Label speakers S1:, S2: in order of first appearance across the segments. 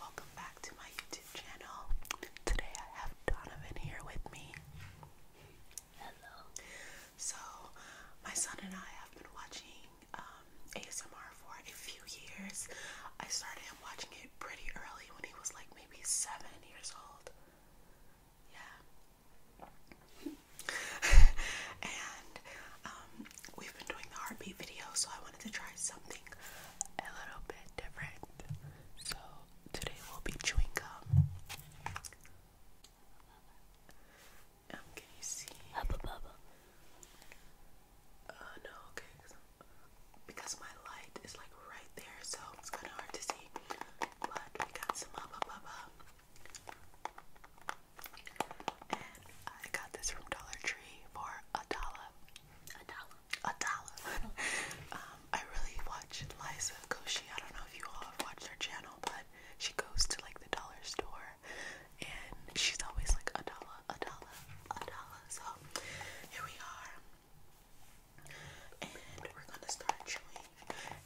S1: Welcome back to my YouTube channel. Today I have Donovan here with me. Hello. So, my son and I have been watching um, ASMR for a few years. I started watching it pretty early when he was like maybe seven years old. Yeah. and um, we've been doing the heartbeat video, so I wanted to try something a little bit different. So today we'll be chewing gum. Um, can you see? Hubba bubba. Uh, no, okay, because my light is like right there, so it's kind of hard to see but we got some hubba bubba. And I got this from Dollar Tree for a dollar. A dollar. A dollar. Um, I really watch Liza Koshy. I don't know if you all have watched her channel, but she goes to like the dollar store and she's always like a dollar, a dollar, a dollar. So here we are and we're gonna start chewing.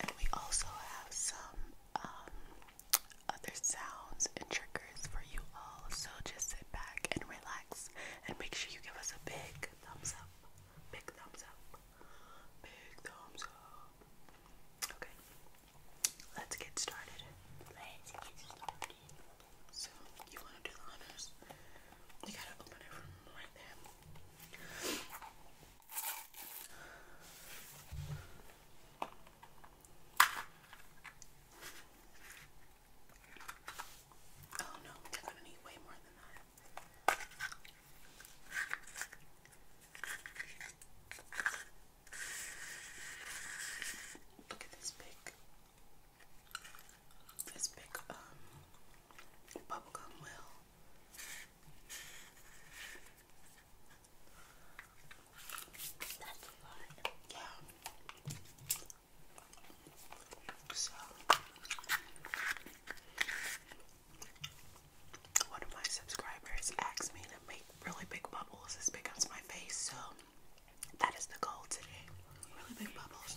S1: And we also have some um, other sounds and triggers for you all. So just sit back and relax, and make sure you give us a big thumbs up, big thumbs up, big thumbs up. Okay, let's get started. Let's get started. So you want to do the honors? You gotta open it from right there. Oh no, I'm gonna need way more than that. Look at this big, this big um bubblegum wheel one of my subscribers asked me to make really big bubbles as big as my face, so that is the goal today. Really big bubbles.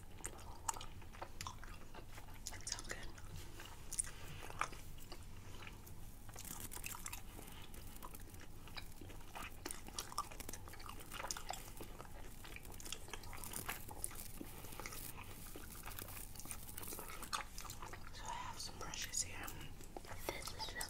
S1: It's all So I have some brushes here. This is a lot.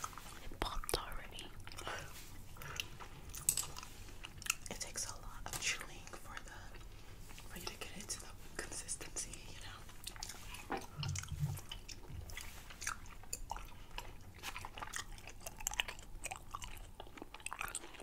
S1: It popped already. It takes a lot of chewing for the for you to get it to the consistency, you know.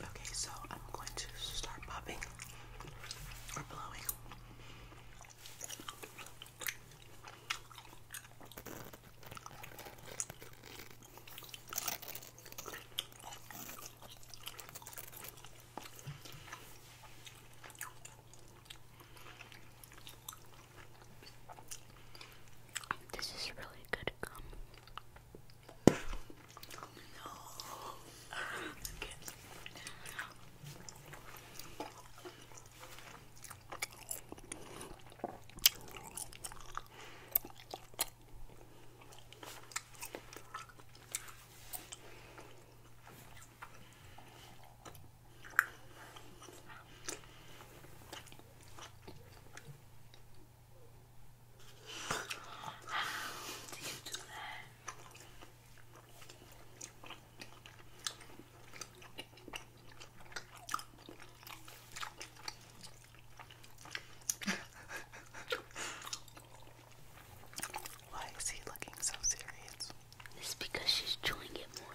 S1: Okay, so I'm going to start popping or blowing. This is really good gum. No. Why is he looking so serious? It's because she's chewing it more.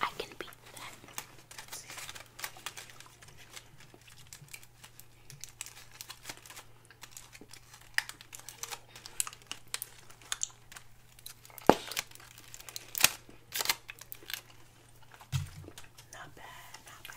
S1: I can beat that. Not bad, not bad.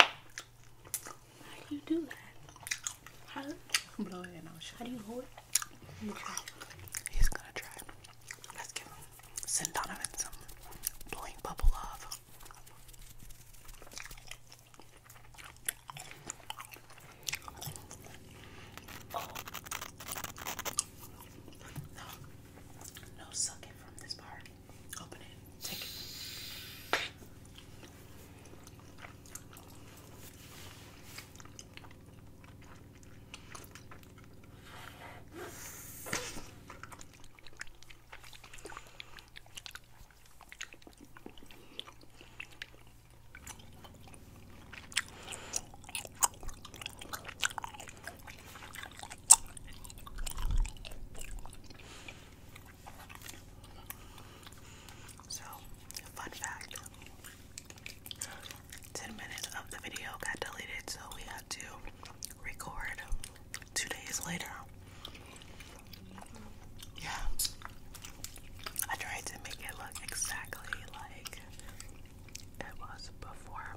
S1: How do you do that? How do you blow it and i show How do you hold it? He's gonna try. Let's give Donovan some blowing bubble love. no sucking from this part. Open it. Take it. So, fun fact 10 minutes of the video got deleted, so we had to record two days later. Yeah. I tried to make it look exactly like it was before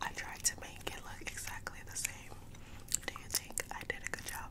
S1: I tried to make it look exactly the same. Do you think I did a good job?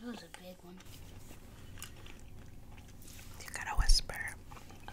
S1: That was a big one. You gotta whisper. Uh,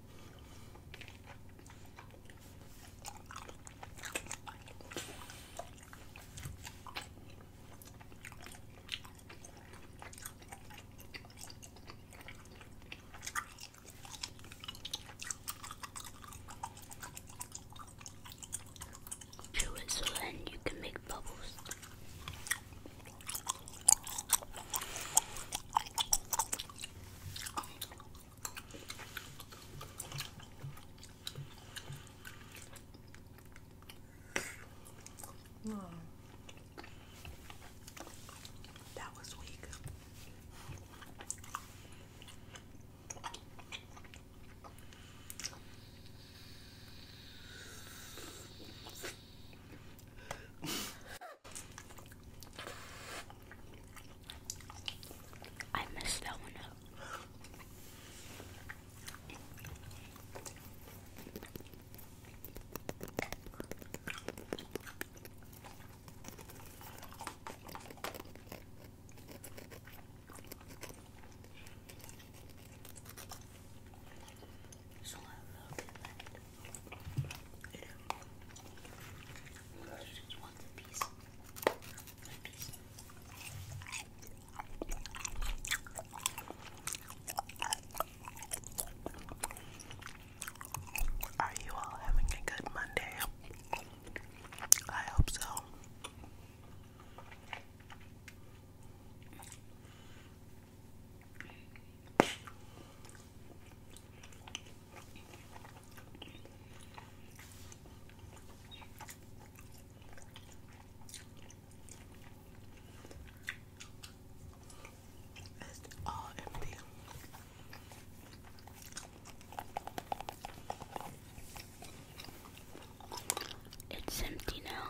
S1: Chew it so then you can make bubbles. Mm. That was weak. I messed that one up. So I will get are you all having a good Monday? I hope so. It's all empty. It's empty now.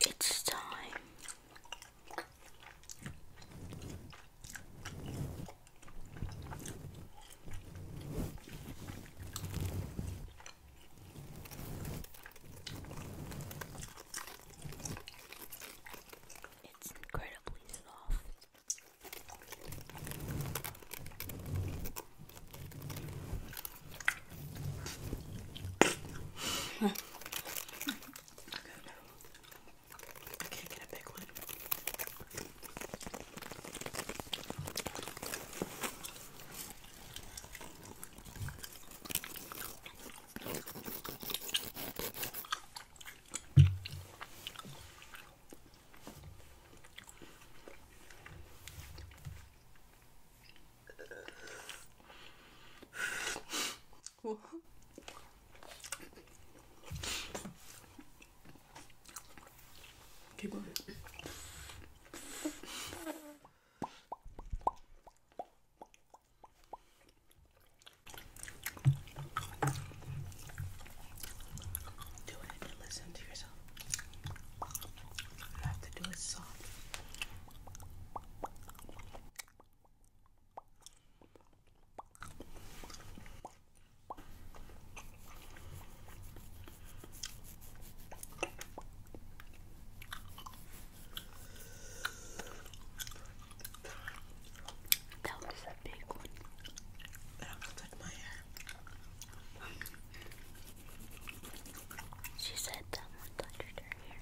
S1: It's time. It's incredibly soft. I can't get a big one. What? Keep going. Do it listen to yourself. You have to do it soft. That was a big one. I'm gonna take my hair. She said someone touched her hair.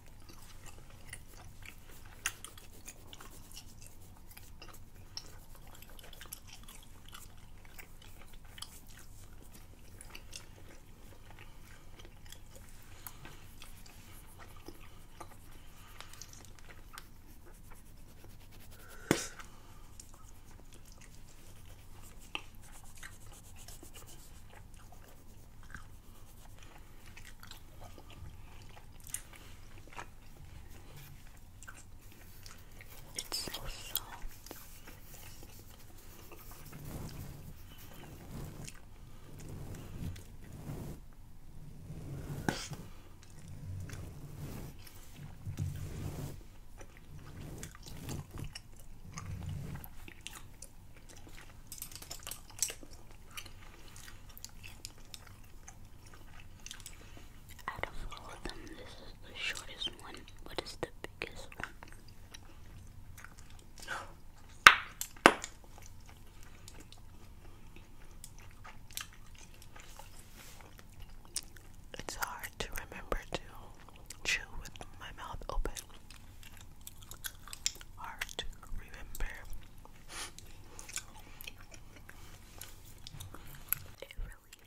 S1: It's so soft. Out of all of them, this is the shortest one, but the biggest one. It's hard to remember to chew with my mouth open. Hard to remember. It really is.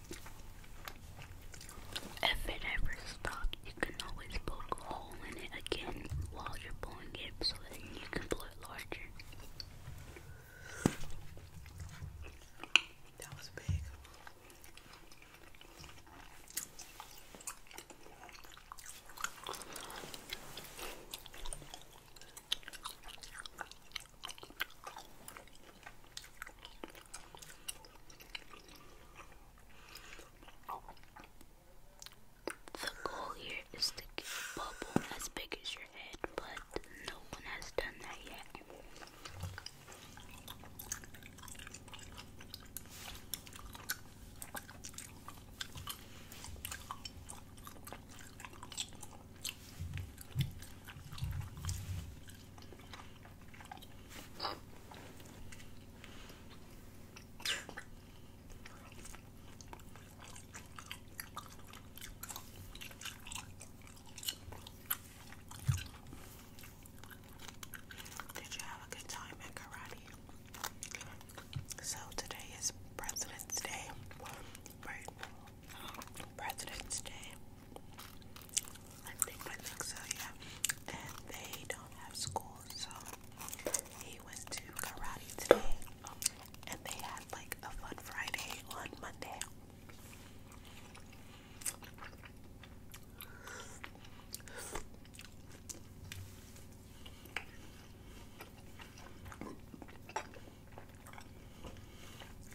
S1: If it ever stops, you can always poke a hole in it again while you're blowing it so that you can blow it larger. That was big. The goal here is to get a bubble as big as your head, but no one has done that yet. Did you have a good time at karate? So today is President's Day. President's Day. I think so, yeah. And they don't have school, so he went to karate today. And they had like a fun Friday on Monday.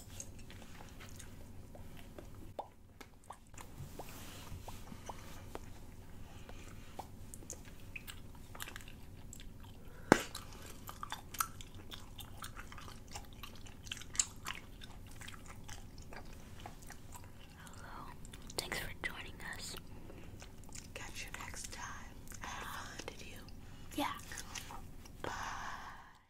S1: Hello. Thanks for joining us. Catch you next time. did you? Yeah. Bye.